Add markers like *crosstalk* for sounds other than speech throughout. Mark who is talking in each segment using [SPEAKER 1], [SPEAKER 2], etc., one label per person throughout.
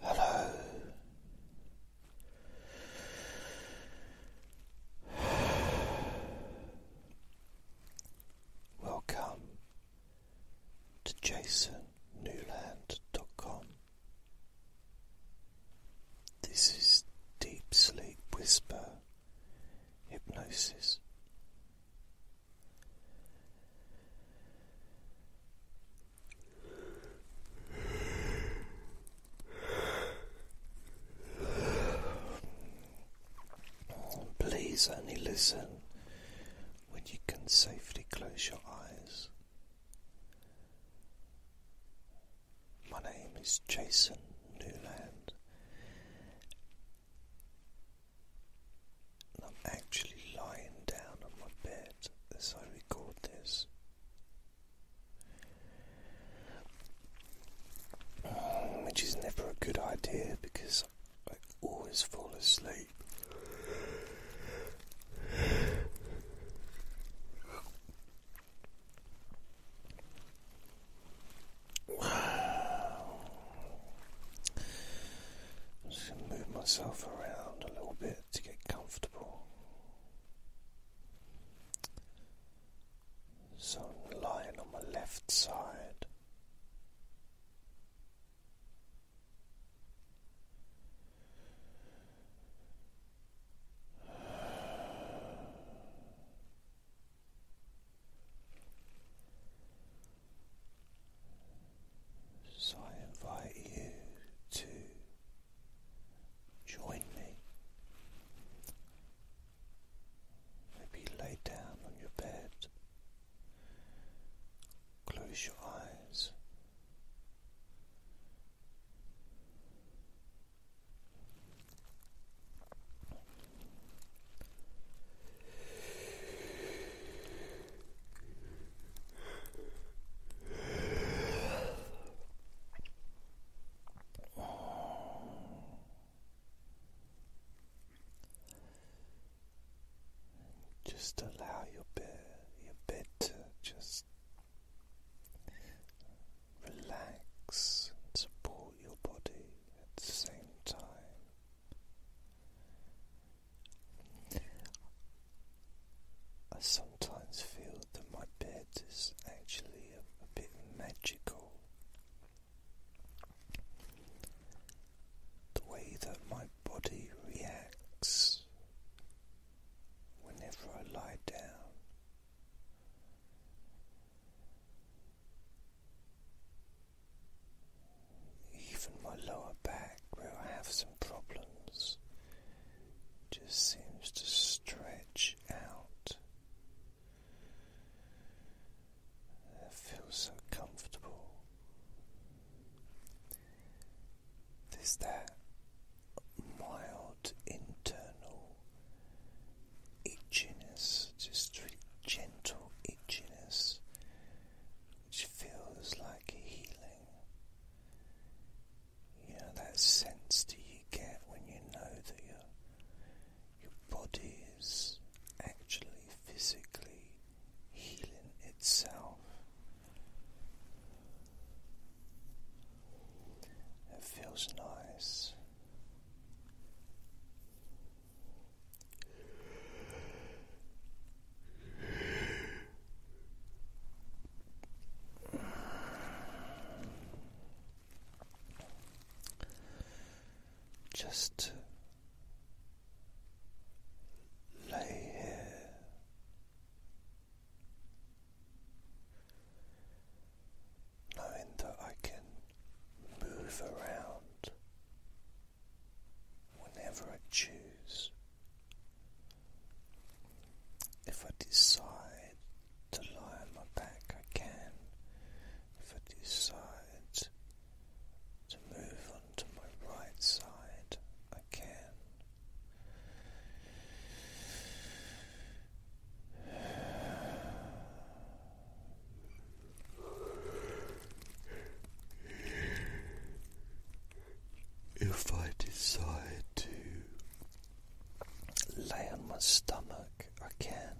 [SPEAKER 1] Hello. Welcome to jasonnewland.com. This is Deep Sleep Whisper Hypnosis. Please only listen when you can safely close your eyes. My name is Jason Newland, I'm actually lying down on my bed as I record this. Mm, which is never a good idea because I always fall asleep. i just going to move myself around a little bit to get comfortable. So I'm lying on my left side. So I invite you to join me. Maybe lay down on your bed, close your eyes. Just allow your bed, your bed to just relax and support your body at the same time. I sometimes feel that my bed is actually a, bit magical. The way that my body reacts whenever I lie down even my lower back, where I have some problems, just seems to stretch out. feels so comfortable. There's that mild internal itchiness, just really gentle itchiness, which feels like healing. You know that sense do you get when you know that your your body is actually physically healing itself. It feels nice. Just lay here knowing that I can move around whenever I choose. If I decide to lie on my back, I can. If I decide to move on to my right side, I can if I decide to lay on my stomach, I can.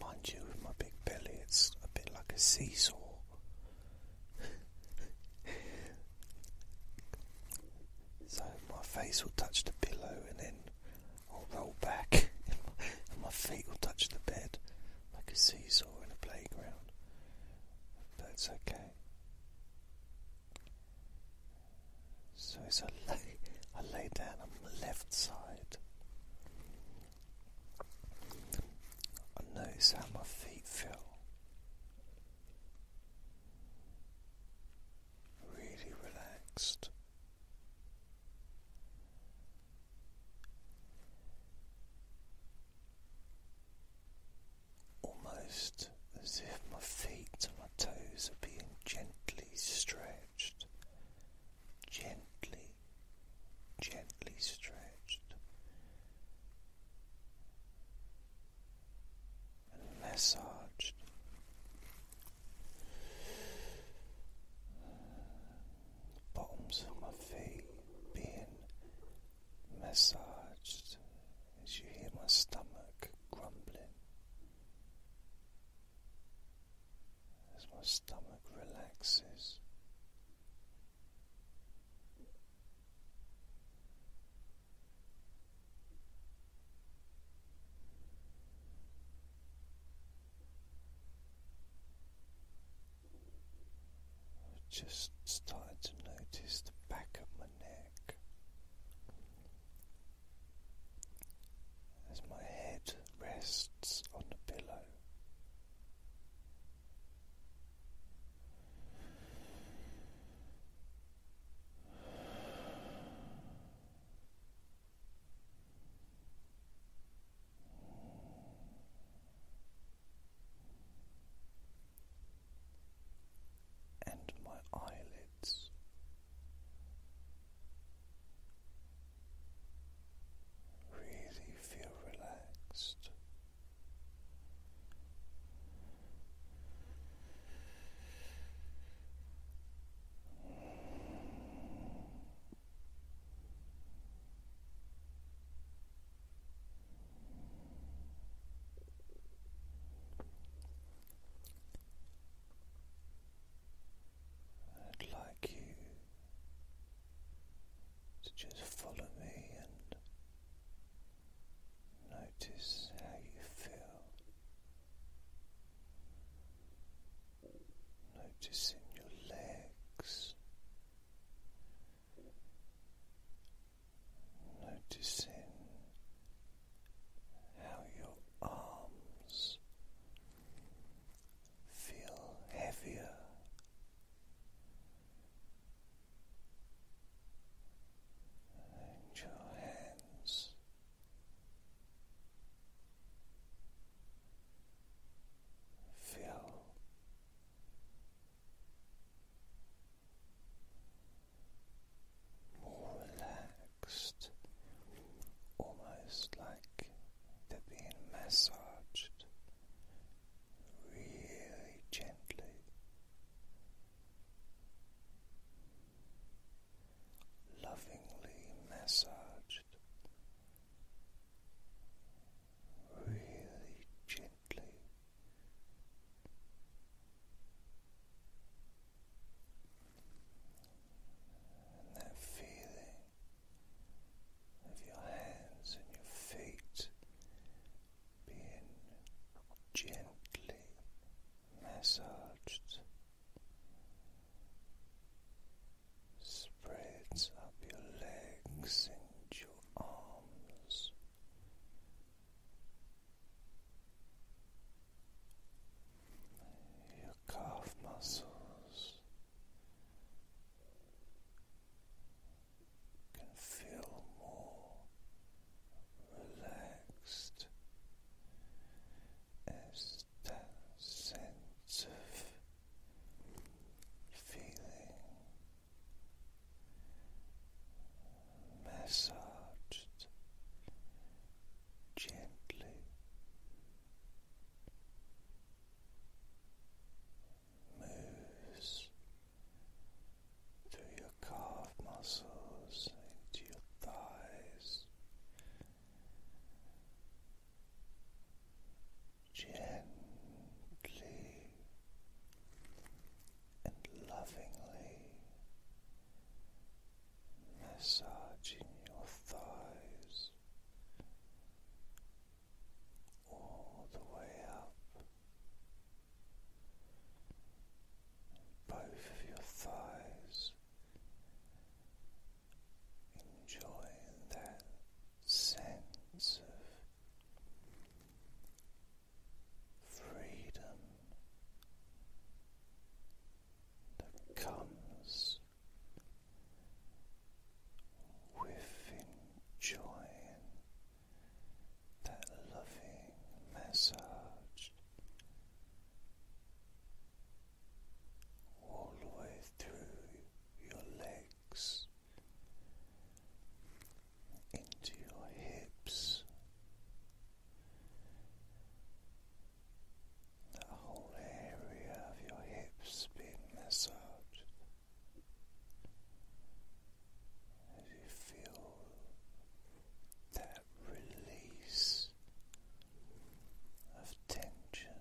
[SPEAKER 1] Mind you, with my big belly, it's a bit like a seesaw. so my face will touch the pillow and then I'll roll back *laughs* and my feet will touch the bed like a seesaw in a playground, but it's okay. So as I lay, I lay down on the left side, I notice how my feet feel. Really relaxed, Almost as if my feet and my toes are being gently stretched, gently, gently stretched, and massaged bottoms of my feet being massaged as you hear my stomach grumbling, as my stomach relaxes. I've Just starting to notice the back of my neck as my head rests on the pillow and my eyelids. Really feel relaxed. I'd like you to just follow me and notice how you feel noticing your legs, noticing how your arms feel heavier. And your hands Feel more relaxed, almost like they're being massaged really gently. Lovingly massaged really gently. And that feeling of your hands and your feet being gently massaged spreads up your legs and your arms. Your calf muscles can feel more relaxed as is that sense of feeling massaged gently. Moves through your calf muscles into your thighs, gently and lovingly massaging your thighs all the way up. Both of your thighs enjoying that sense of freedom that comes with enjoying that loving massage all the way through your legs, into your hips, that whole area of your hips being massaged. As you feel that release of tension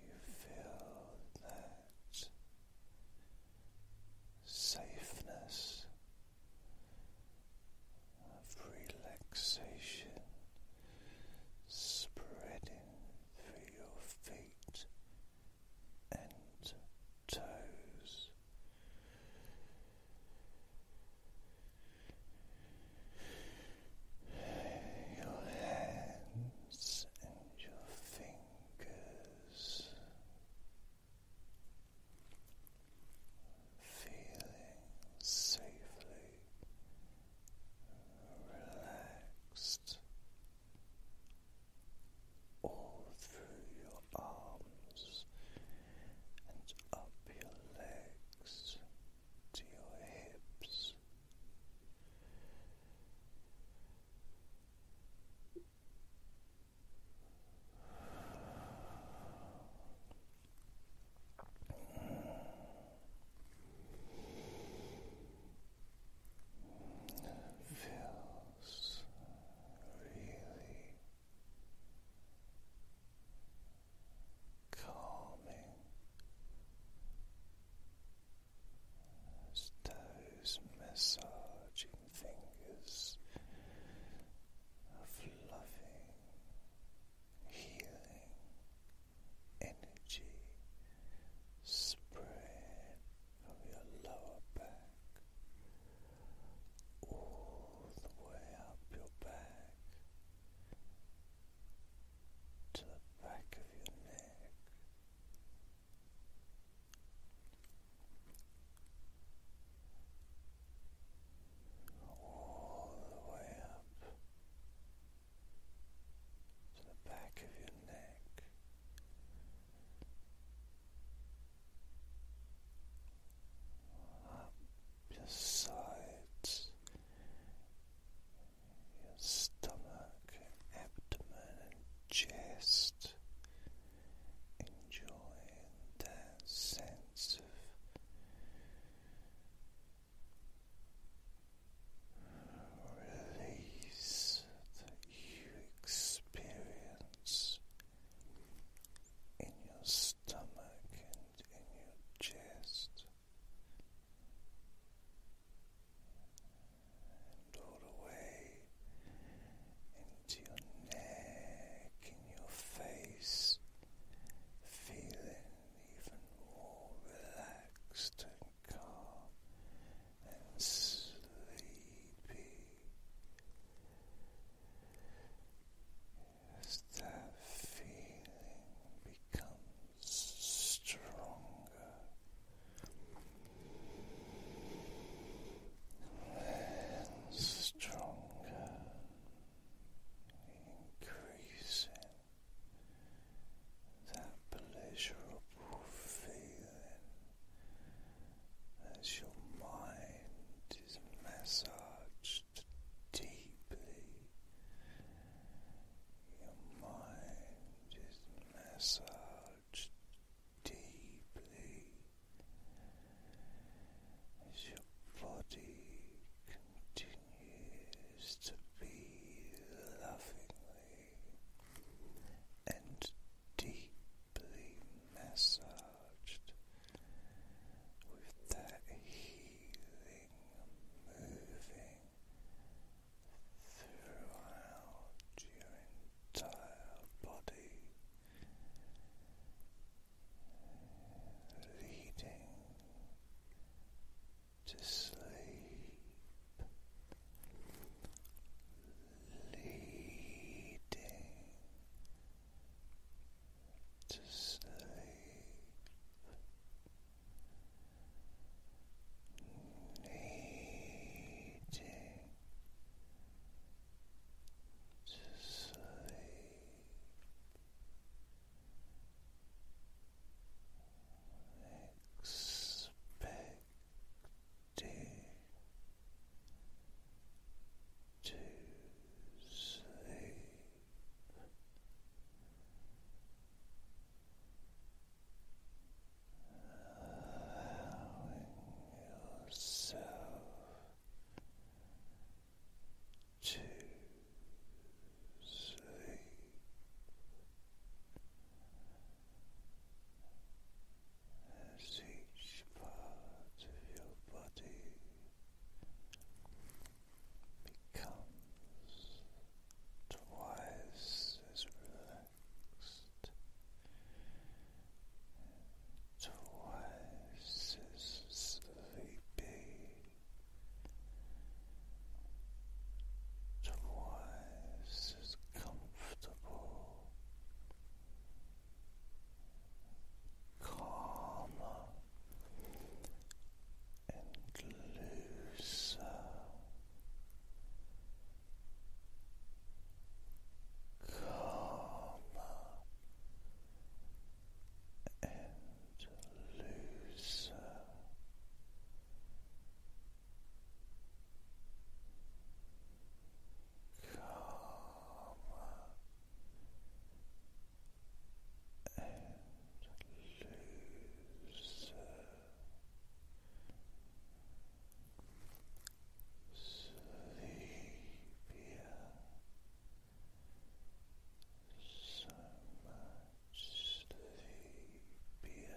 [SPEAKER 1] you feel that safeness of relaxation spreading through your feet and toes your hands and your fingers feeling safely relaxed all through your arms and up your legs to your hips. Feels really calming as massaging fingers of loving, healing energy spread from your lower back all the way up your back to the back of your neck. All the way up to the back of your neck, up your your stomach, abdomen, and chest, enjoying that sense of. Release that you experience in your stomach and in your chest all the way into your neck, in your face, feeling even more relaxed and calm and sleepy as that feeling becomes stronger. And stronger, increasing that pleasurable feeling as your mind is massaged deeply, your mind is massaged deeply as your body continues to be lovingly and deeply massaged with that healing moving throughout your entire body, leading to sleep, leading to sleep. Needing to sleep, expecting to sleep. Allowing yourself to sleep. each part of your body becomes twice as relaxed, twice as sleepy, twice as comfortable calmer and looser. Calmer and looser. Calmer and looser. so much sleepier, sleepier,